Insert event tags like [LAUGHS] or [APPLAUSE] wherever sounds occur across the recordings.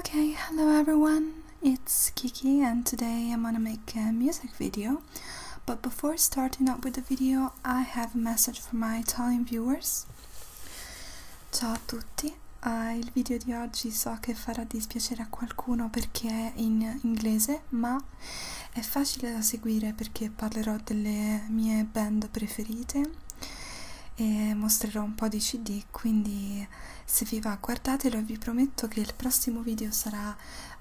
Okay, hello everyone, it's Kiki and today I'm gonna make a music video but before starting up with the video I have a message for my Italian viewers Ciao a tutti, uh, il video di oggi so che farà dispiacere a qualcuno perché è in inglese ma è facile da seguire perché parlerò delle mie band preferite e mostrerò un po' di cd quindi se vi va guardatelo e vi prometto che il prossimo video sarà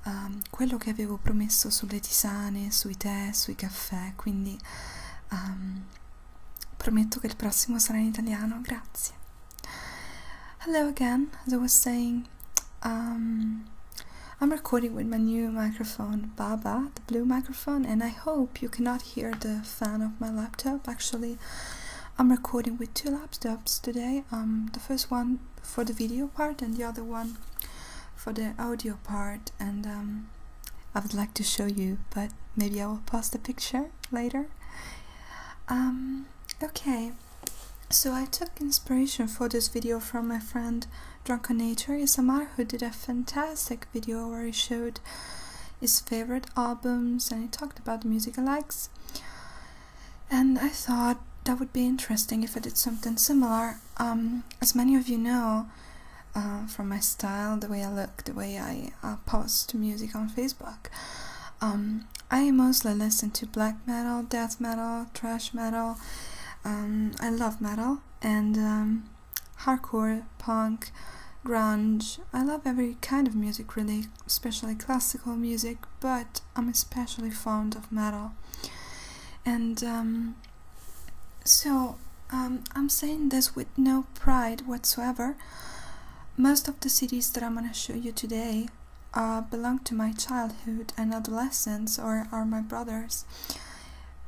um, quello che avevo promesso sulle tisane sui tè sui caffè quindi um, prometto che il prossimo sarà in italiano grazie hello again as i was saying um, i'm recording with my new microphone baba the blue microphone and i hope you cannot Here the fan of my laptop. Actually, I'm recording with two laptops today. Um, the first one for the video part and the other one for the audio part. And um, I would like to show you, but maybe I will post the picture later. Um, okay, so I took inspiration for this video from my friend Drunken Nature. Is a who did a fantastic video where he showed his favorite albums and he talked about the music likes. And I thought that would be interesting if I did something similar. Um, as many of you know uh, from my style, the way I look, the way I uh, post music on Facebook, um, I mostly listen to black metal, death metal, thrash metal. Um, I love metal and hardcore, punk, grunge. I love every kind of music, really, especially classical music, but I'm especially fond of metal. And um, so um, I'm saying this with no pride whatsoever. Most of the cities that I'm going to show you today uh, belong to my childhood and adolescence or are my brothers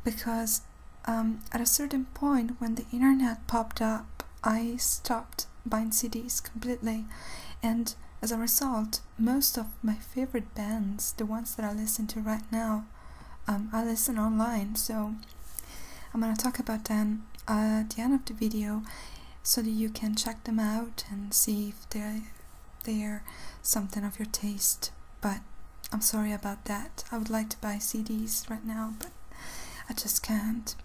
because um, at a certain point when the internet popped up, I stopped buying CDs completely, and as a result, most of my favorite bands, the ones that I listen to right now, um, I listen online. So I'm gonna talk about them at the end of the video, so that you can check them out and see if they're something of your taste. But I'm sorry about that. I would like to buy CDs right now, but I just can't.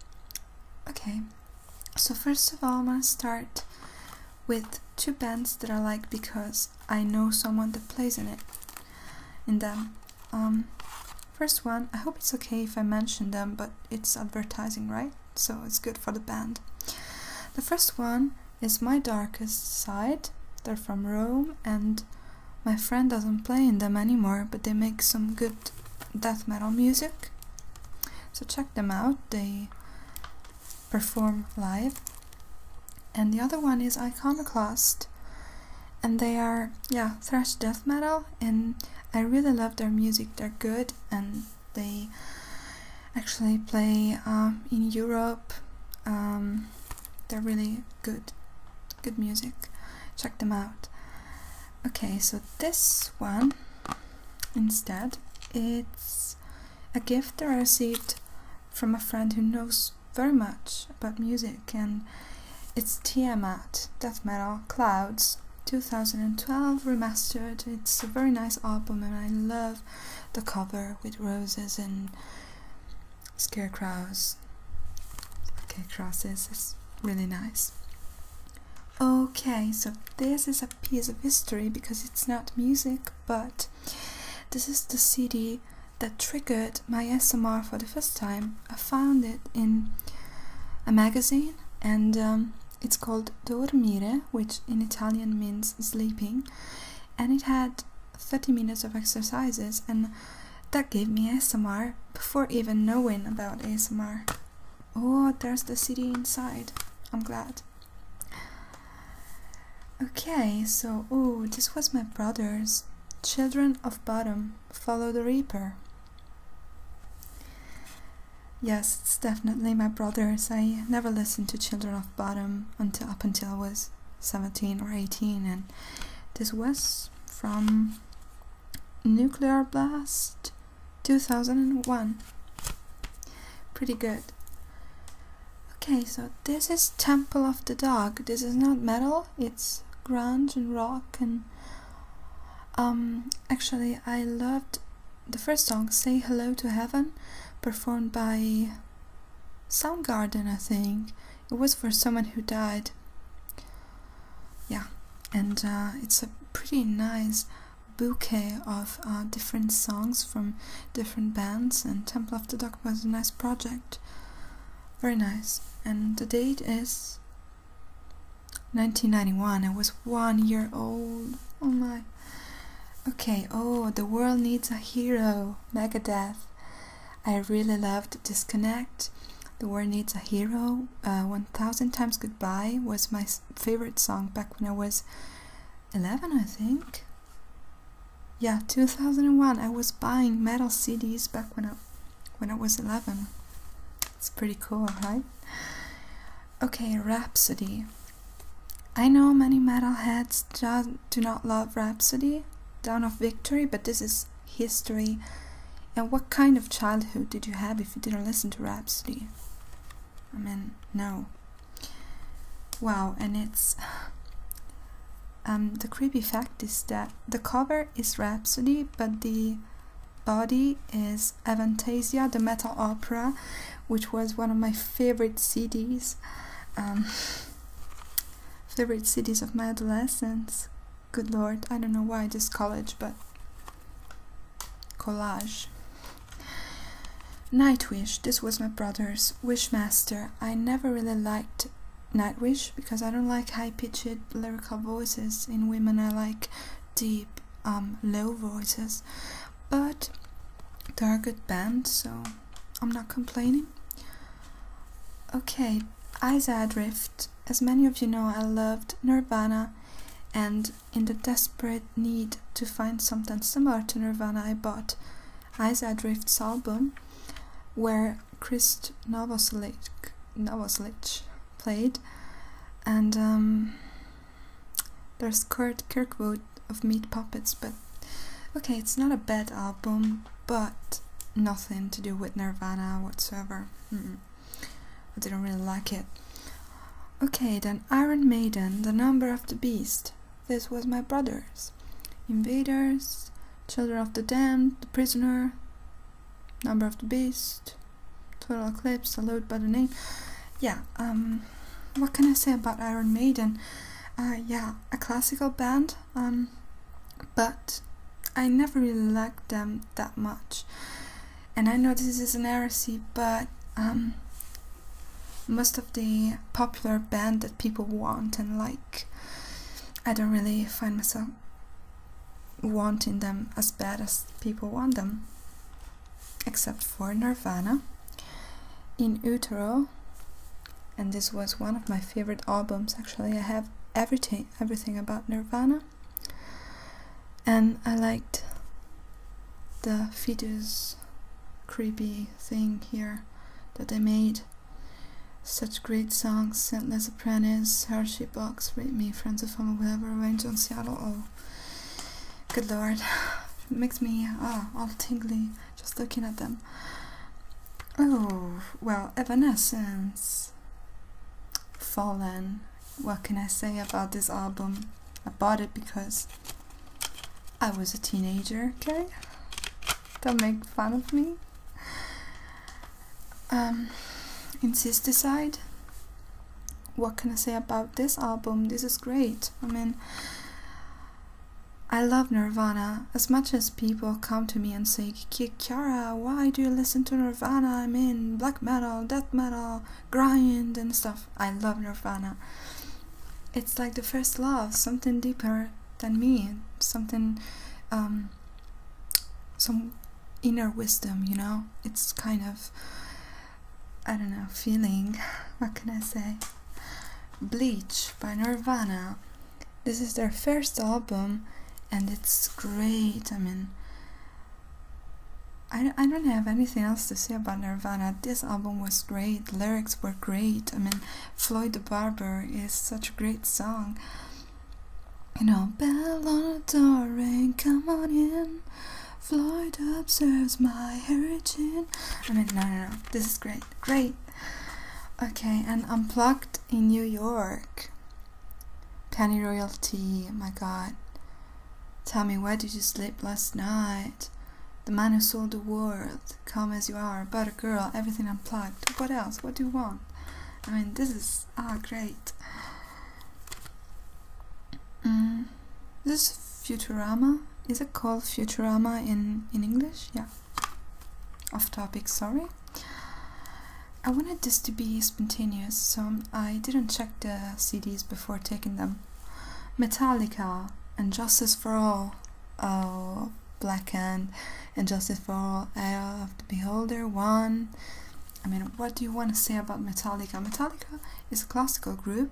Okay, so first of all, I'm gonna start with two bands that I like because I know someone that plays in it. In them. Um, first one, I hope it's okay if I mention them, but it's advertising, right? So it's good for the band. The first one is My Darkest Side. They're from Rome and my friend doesn't play in them anymore, but they make some good death metal music. So check them out. They perform live. And the other one is Iconoclast. And they are, yeah, thrash death metal. And I really love their music. They're good and they actually play uh, in Europe. Um, they're really good good music check them out okay so this one instead it's a gift that I received from a friend who knows very much about music and it's Tiamat Death Metal Clouds 2012 remastered it's a very nice album and I love the cover with roses and scarecrows. Okay, crosses is really nice. Okay, so this is a piece of history because it's not music, but this is the CD that triggered my SMR for the first time. I found it in a magazine and um, it's called Dormire, which in Italian means sleeping, and it had 30 minutes of exercises, and that gave me ASMR before even knowing about ASMR. Oh, there's the city inside. I'm glad. Okay, so, oh, this was my brother's Children of Bottom Follow the Reaper. Yes, it's definitely my brother's. I never listened to Children of Bottom until up until I was 17 or 18 and this was from nuclear blast 2001 pretty good okay so this is temple of the dog this is not metal it's grunge and rock and um actually i loved the first song say hello to heaven performed by some garden, I think. It was for someone who died. Yeah, and uh, it's a pretty nice bouquet of uh, different songs from different bands, and Temple of the Dog was a nice project. Very nice. And the date is 1991. I was one year old. Oh my. Okay, oh, the world needs a hero. Megadeth. I really loved Disconnect. The World Needs a Hero, uh, 1000 Times Goodbye was my favorite song back when I was 11, I think. Yeah, 2001. I was buying metal CDs back when I, when I was 11. It's pretty cool, right? Okay, Rhapsody. I know many metal heads do not love Rhapsody, Dawn of Victory, but this is history. And what kind of childhood did you have if you didn't listen to Rhapsody? I mean, no. Wow, and it's. Um, the creepy fact is that the cover is Rhapsody, but the body is Avantasia, the metal opera, which was one of my favorite CDs. Um, favorite cities of my adolescence. Good lord, I don't know why this college, but collage. Nightwish, this was my brother's Wishmaster. I never really liked Nightwish because I don't like high pitched lyrical voices. In women, I like deep, um, low voices, but Target band, so I'm not complaining. Okay. Okay, Eyes Adrift. As many of you know, I loved Nirvana, and in the desperate need to find something similar to Nirvana, I bought Eyes Adrift's album, where Chris Novoselic, Novoselic played, and um, there's Kurt Kirkwood of Meat Puppets, but Okay, it's not a bad album, but nothing to do with Nirvana whatsoever. I didn't really like it. Okay, then Iron Maiden, The Number of the Beast. This was my brother's. Invaders, Children of the Damned, The Prisoner, Number of the Beast, Total Eclipse, Salute by the Name. Yeah, um, what can I say about Iron Maiden? Uh, yeah, a classical band um, but I never really liked them that much. And I know this is an heresy, but um, most of the popular band that people want and like, I don't really find myself wanting them as bad as people want them. Except for Nirvana, In Utero, and this was one of my favorite albums actually I have everything everything about Nirvana and I liked the fetus creepy thing here that they made such great songs Scentless Apprentice, Hershey Box, Read Me, Friends of Home, whatever, Revenge on Seattle, oh good lord [SIGHS] makes me ah all tingly just looking at them. Oh, well, Evanescence. Fallen. What can I say about this album? I bought it because I was a teenager, okay? Don't make fun of me. Um, Insisticide. What can I say about this album? This is great. I mean, I love Nirvana as much as people come to me and say, Kiara, why do you listen to Nirvana? I am in black metal, death metal, grind, and stuff. I love Nirvana. It's like the first love, something deeper than me, something, um, some inner wisdom, you know? It's kind of, I don't know, feeling. [LAUGHS] What can I say? Bleach by Nirvana. This is their first album and it's great. I mean, I, I don't have anything else to say about Nirvana. This album was great, lyrics were great. I mean, Floyd the Barber is such a great song. You know, bell on the door, ring, come on in. Floyd observes my heritage. I mean, no, no, no, this is great, great. Okay, and Unplugged in New York. Penny Royalty, my god. Tell me, where did you sleep last night? The man who sold the world, come as you are, a girl, everything unplugged. What else? What do you want? I mean, this is ah great. Mm, this Futurama is it called Futurama in in English? Yeah off topic sorry I wanted this to be spontaneous so I didn't check the CDs before taking them Metallica and Justice for All oh, Black and Justice for All Eye of the Beholder 1 I mean what do you want to say about Metallica? Metallica is a classical group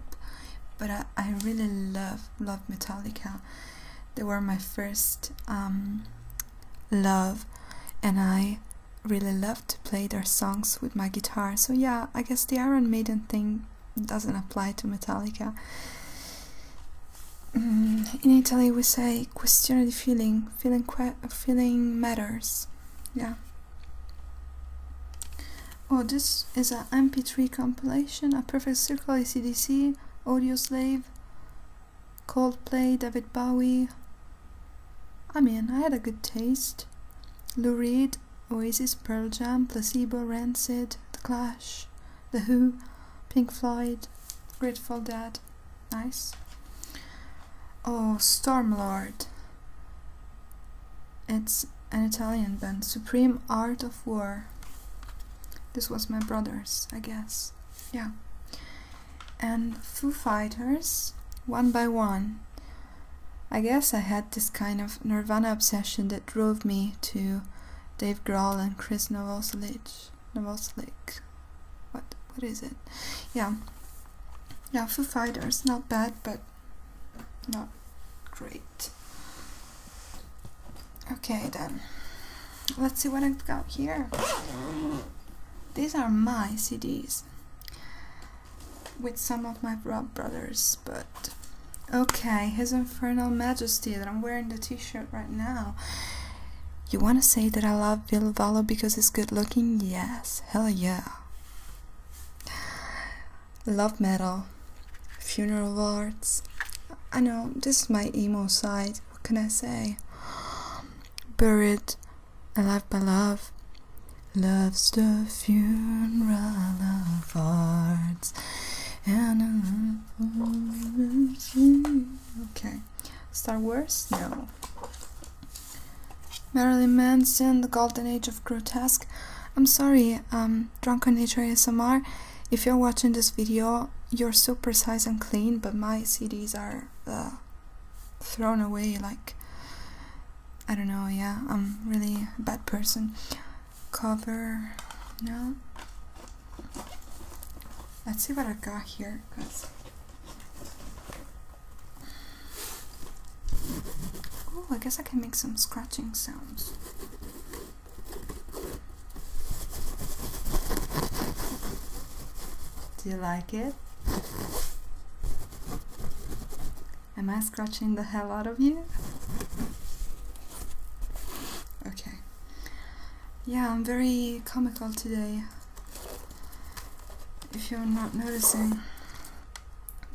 but I really love love Metallica they were my first um, love, and I really loved to play their songs with my guitar. So yeah, I guess the Iron Maiden thing doesn't apply to Metallica. Mm, in Italy, we say "question di feeling." Feeling, feeling matters. Yeah. Oh, this is an MP3 compilation. A perfect circle, ACDC, Audio slave. Coldplay, David Bowie. I mean, I had a good taste. Lou Reed, Oasis, Pearl Jam, Placebo, Rancid, The Clash, The Who, Pink Floyd, Grateful Dead. Nice. Oh, Stormlord. It's an Italian band, Supreme Art of War. This was my brother's, I guess. Yeah. And Foo Fighters, one by one. I guess I had this kind of Nirvana obsession that drove me to Dave Grohl and Chris Novoselic. Novoselic. What what is it? Yeah. Yeah, Foo Fighters, not bad, but not great. Okay then, let's see what I've got here. These are my CDs with some of my Rob Brothers, but okay, His Infernal Majesty that I'm wearing the t-shirt right now. You wanna say that I love Bill because he's good looking? Yes, hell yeah love metal, funeral arts. I know this is my emo side. What can I say? [GASPS] Buried, alive by love. Love's the funeral arts. And okay, Star Wars? No. Marilyn Manson, the Golden Age of Grotesque. I'm sorry. Um, Drunk on Nature S.M.R. If you're watching this video, you're so precise and clean, but my CDs are uh, thrown away. Like, I don't know, yeah, I'm really a bad person. Cover, no. Let's see what I got here, Oh, I guess I can make some scratching sounds. Do you like it? Am I scratching the hell out of you? Okay. Yeah, I'm very comical today. If you're not noticing.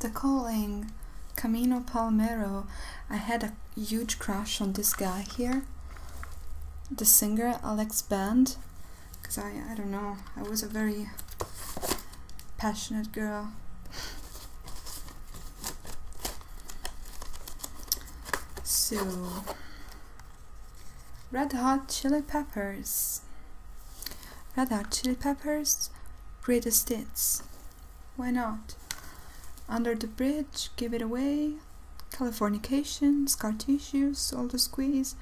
The calling Camino Palmero. I had huge crush on this guy here, the singer Alex Band, because I, I don't know, I was a very passionate girl. So, Red Hot Chili Peppers. Red Hot Chili Peppers, greatest hits. Why not? Under the Bridge, Give It Away, Californication, Scar All the Squeeze,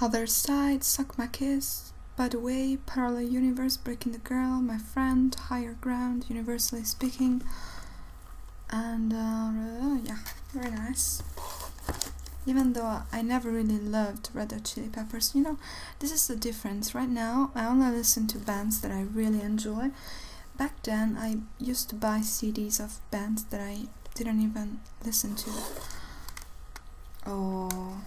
Other Side, Suck My Kiss, By the Way, Parallel Universe, Breaking the Girl, My Friend, Higher Ground, Universally Speaking, and uh, yeah, very nice. Even though I never really loved Red Hot Chili Peppers, you know, this is the difference. Right now, I only listen to bands that I really enjoy. Back then, I used to buy CDs of bands that I didn't even listen to. Oh.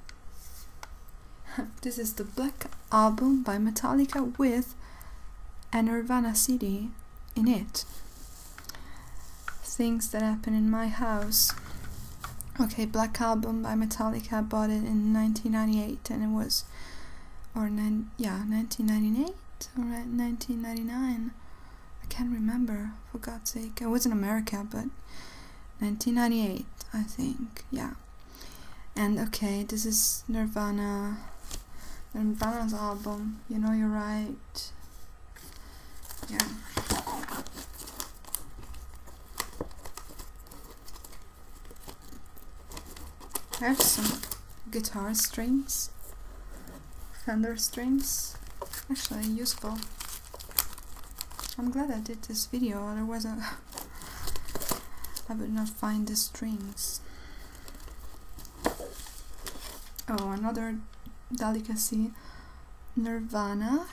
[LAUGHS] this is the Black Album by Metallica with an Nirvana CD in it. Things that happen in my house. Okay, Black Album by Metallica. I bought it in 1998 and it was, or nine, yeah, 1998 or 1999. I can't remember, for God's sake. I was in America, but 1998, I think, yeah. And okay, this is Nirvana. Nirvana's album, You Know You're Right. Yeah have some guitar strings, Fender strings, actually useful. I'm glad I did this video, otherwise I, [LAUGHS] I would not find the strings. Oh, another delicacy Nirvana,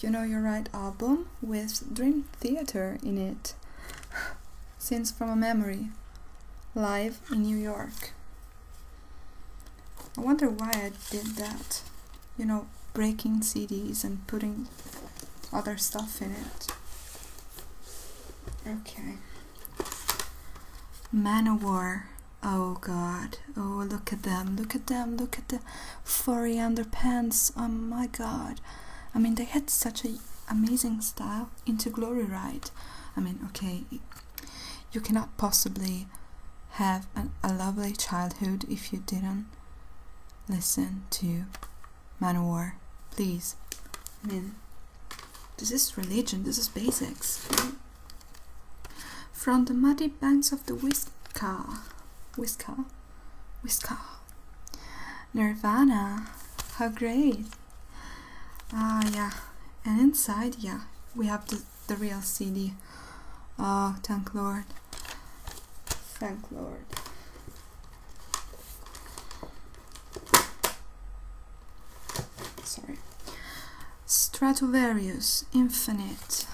You Know Your Right album with Dream Theater in it. [SIGHS] Since from a Memory, live in New York. I wonder why I did that. You know, breaking CDs and putting other stuff in it. Okay. Manowar. Oh god. Oh, look at them. Look at them. Look at them! the furry underpants. Oh my god. I mean, they had such an amazing style into Glory Ride. I mean, okay, you cannot possibly have a lovely childhood if you didn't listen to Manowar. Please. I mean, this is religion, this is basics. From the muddy banks of the Whiskar Whisker. Whisker. Nirvana. How great. Ah, yeah. And inside, yeah, we have the, the real CD. Oh, thank Lord. Thank Lord. Sorry. Stratovarius Infinite.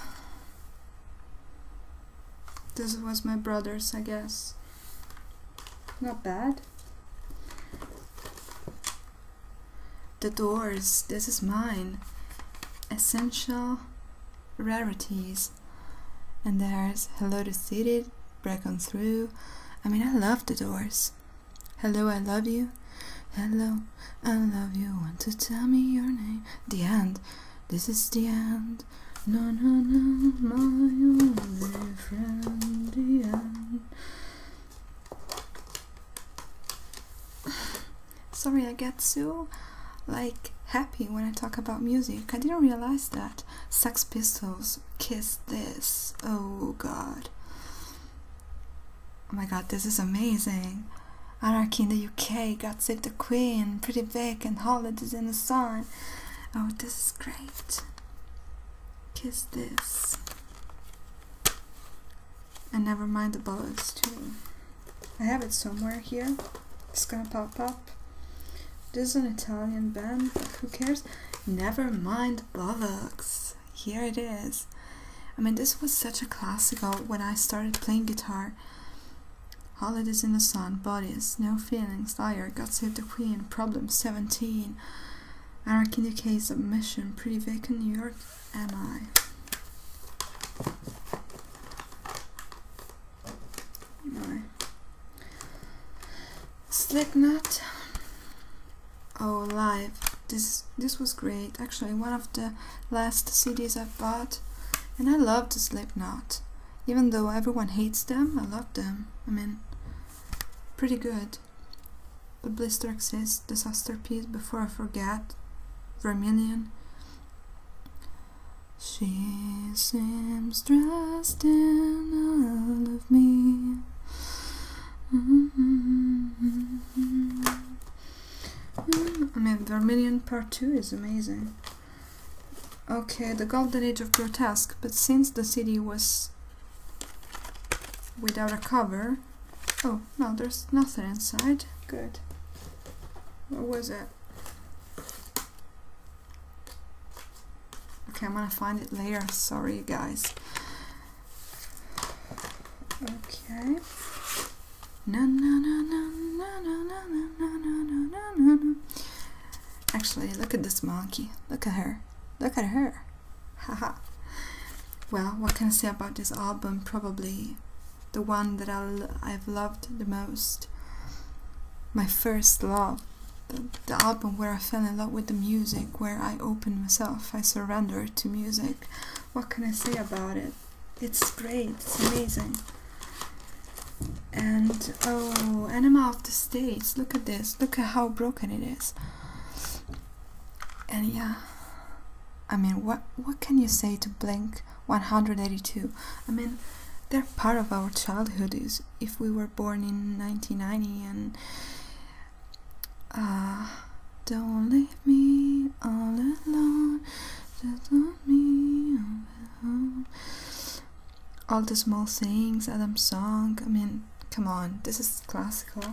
This was my brother's, I guess. Not bad. The doors, this is mine. Essential rarities. And there's Hello to city. Break On Through. I mean, I love the doors. Hello, I love you. Hello, I love you. Want to tell me your name? The end. This is the end. No, no, no, my only friend, the end. [SIGHS] Sorry, I get so like happy when I talk about music. I didn't realize that Sex Pistols Kiss This. Oh god. Oh my god, this is amazing. Anarchy in the UK, God Save the Queen, Pretty Big, and Holidays in the Sun. Oh, this is great. Kiss this. And never mind the bollocks too. I have it somewhere here. It's gonna pop up. This is an Italian band, who cares? Never mind Bollocks. Here it is. I mean, this was such a classical when I started playing guitar. Holidays in the Sun, Bodies, No Feelings, Liar, God Save the Queen, Problem 17, Anarchy in the Case of Mission, Pretty Vacant New York, Am I? Right. Slipknot. Oh, live. This this was great. Actually, one of the last CDs I've bought, and I love to Slipknot. Even though everyone hates them, I love them. I mean, pretty good. But Blister Exists, Disaster Piece, Before I Forget, Vermillion. She seems dressed in all of me. Mm-hmm. Mm, I mean, Vermilion Part 2 is amazing. Okay, the Golden Age of Grotesque, but since the city was without a cover... Oh, no, there's nothing inside. Good. What was it? Okay, I'm gonna find it later. Sorry, guys. Okay. No, no, no, no, no, no, no, no, Actually, look at this monkey. Look at her. Look at her. Haha. well, what can I say about this album? Probably the one that i have loved the most. My first love. the album where I fell in love with the music, where I opened myself, I surrendered to music. What can I say about it? It's great, it's amazing. And oh, Anima of the States, look at this, look at how broken it is. And yeah, I mean, what, what can you say to Blink 182? I mean, they're part of our childhood is if we were born in 1990 and uh, don't leave me all alone me. All the small things, Adam's song. I mean, come on, this is classical.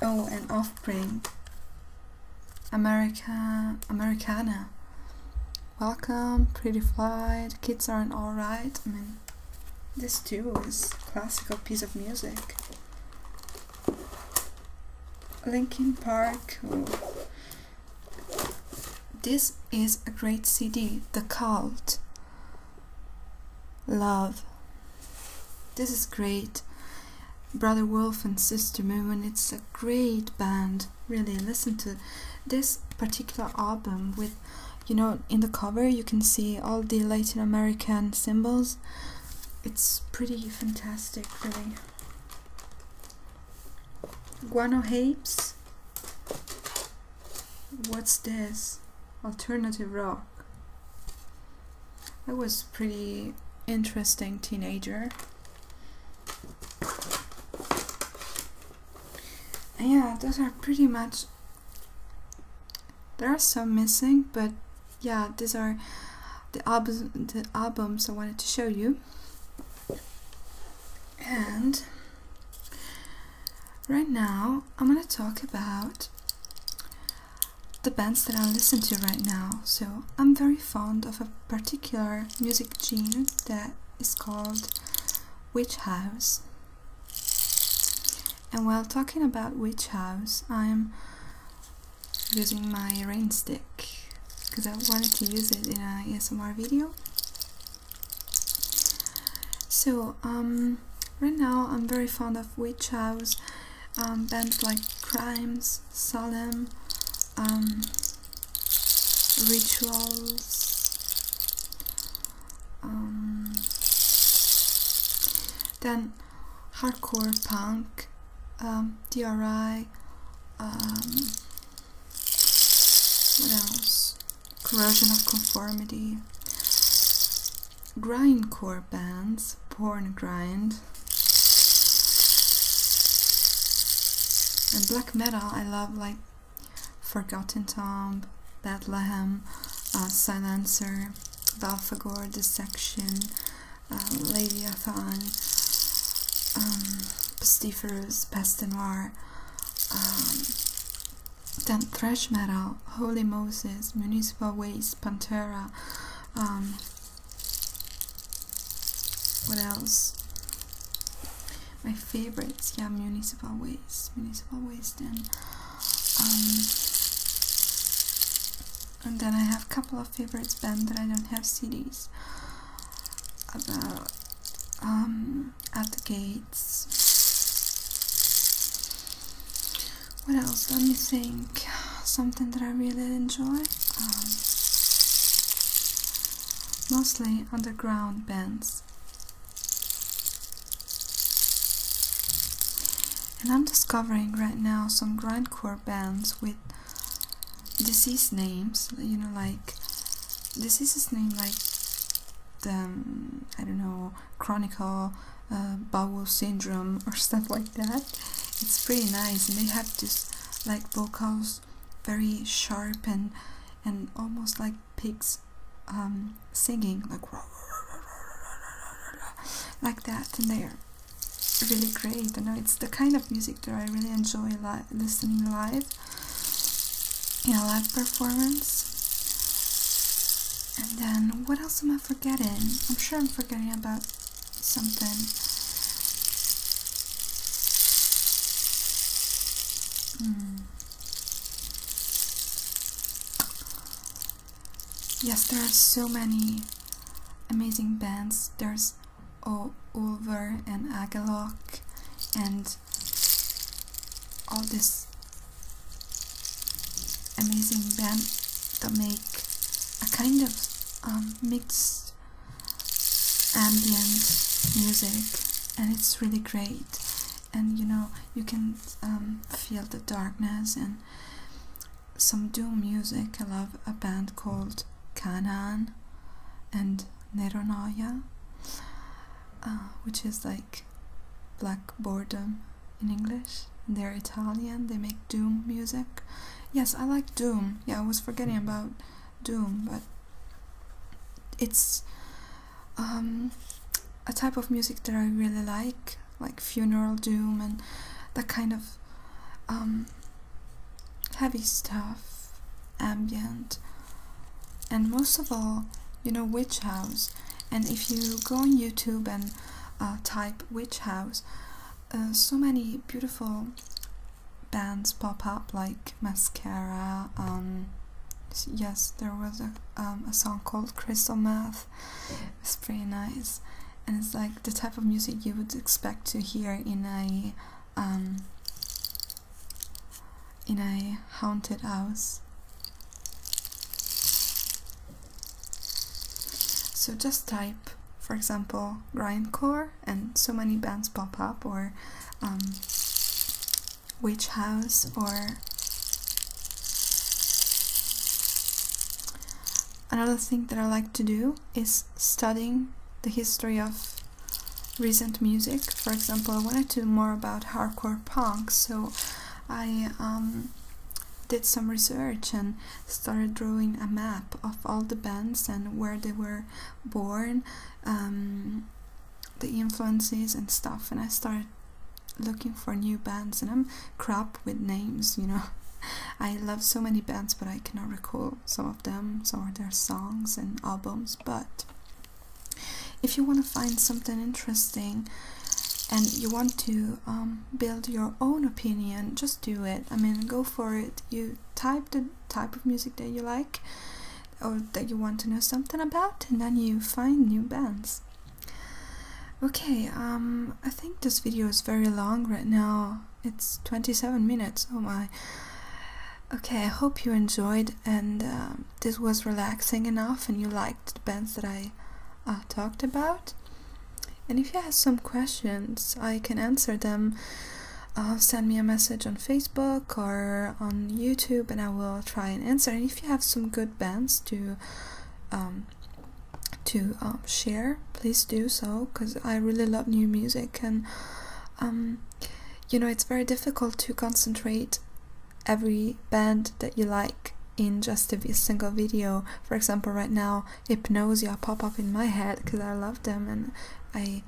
Oh, and Offspring. America, Americana. Welcome, Pretty Flight. Kids aren't alright. I mean, this too is classical piece of music. Linkin Park. This is a great CD, The Cult. Love. This is great. Brother Wolf and Sister Moon, it's a great band. Really, listen to this particular album with, you know, in the cover you can see all the Latin American symbols it's pretty fantastic, really. Guano Hapes. What's this? Alternative rock. I was pretty interesting teenager. yeah, those are pretty much there are some missing, but yeah, these are the, albums I wanted to show you. And right now, I'm gonna talk about the bands that I listen to right now. So I'm very fond of a particular music genre that is called Witch House. And while talking about Witch House, I'm using my rainstick because I wanted to use it in an ASMR video. So um, right now I'm very fond of witch house um, bands like Crimes, Salem, um, Rituals. then hardcore punk, um, DRI, um, what else? Corrosion of Conformity, grindcore bands, porn grind, and black metal. I love like Forgotten Tomb, Bethlehem, uh, Silencer, Belphegor, Dissection, uh, Lady Athan, um, Pestiferous, Peste Noire, then um, Thrash Metal, Holy Moses, Municipal Waste, Pantera, um, what else? My favorites, yeah, Municipal Waste, Municipal Waste, then. And then I have a couple of favorites bands that I don't have CDs about um, At the Gates. What else? Let me think. Something that I really enjoy. Um, mostly underground bands. And I'm discovering right now some grindcore bands with disease names, you know, like diseases name like the, um, I don't know, chronic uh, bowel syndrome or [LAUGHS] stuff like that. It's pretty nice, and they have this like vocals, very sharp and and almost like pigs um, singing like [LAUGHS] like that, and they're really great. I know it's the kind of music that I really enjoy listening live in a live performance. And then what else am I forgetting? I'm sure I'm forgetting about something. Hmm. Yes, there are so many amazing bands. There's o Ulver and Agalok, and all this amazing band that make a kind of um, mixed ambient music and it's really great and you know you can um, feel the darkness and some doom music. I love a band called Kanan and Neronaia, uh, which is like black boredom in English. they're Italian. They make doom music. Yes, I like doom. Yeah, I was forgetting about doom, but it's um, a type of music that I really like like funeral doom and that kind of um, heavy stuff, ambient, and most of all, you know, witch house. And if you go on YouTube and uh, type witch house, uh, so many beautiful bands pop up like Mascara. Um, yes, there was a, um, song called Crystal Mass it's pretty nice, and it's like the type of music you would expect to hear in a um, in a haunted house. So just type, for example, grindcore, and so many bands pop up, or um, witch house, or Another thing that I like to do is studying the history of recent music. For example, I wanted to know more about hardcore punk, so I um, did some research and started drawing a map of all the bands and where they were born, um, the influences and stuff, and I started looking for new bands and I'm crap with names, you know. [LAUGHS] I love so many bands, but I cannot recall some of them, some of their songs and albums. But if you want to find something interesting and you want to um, build your own opinion, just do it. I mean, go for it. You type the type of music that you like or that you want to know something about, and then you find new bands. Okay, um, I think this video is very long right now. It's 27 minutes, oh my. Okay, I hope you enjoyed and um, this was relaxing enough and you liked the bands that I uh, talked about. And if you have some questions, I can answer them. Uh, send me a message on Facebook or on YouTube and I will try and answer. And if you have some good bands to um, to um, share, please do so because I really love new music and um, you know it's very difficult to concentrate every band that you like in just a single video. For example, right now Hypnosia pop up in my head because I love them and I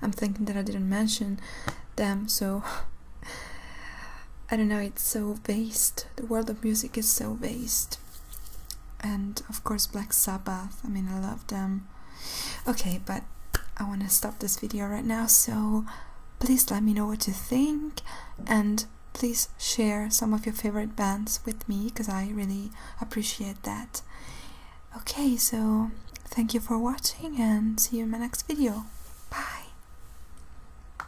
I'm thinking that I didn't mention them so [LAUGHS] I don't know, it's so vast. The world of music is so vast. And of course, Black Sabbath. I mean, I love them. Okay, but I want to stop this video right now, so please let me know what you think and please share some of your favorite bands with me because I really appreciate that. Okay, so thank you for watching and see you in my next video. Bye!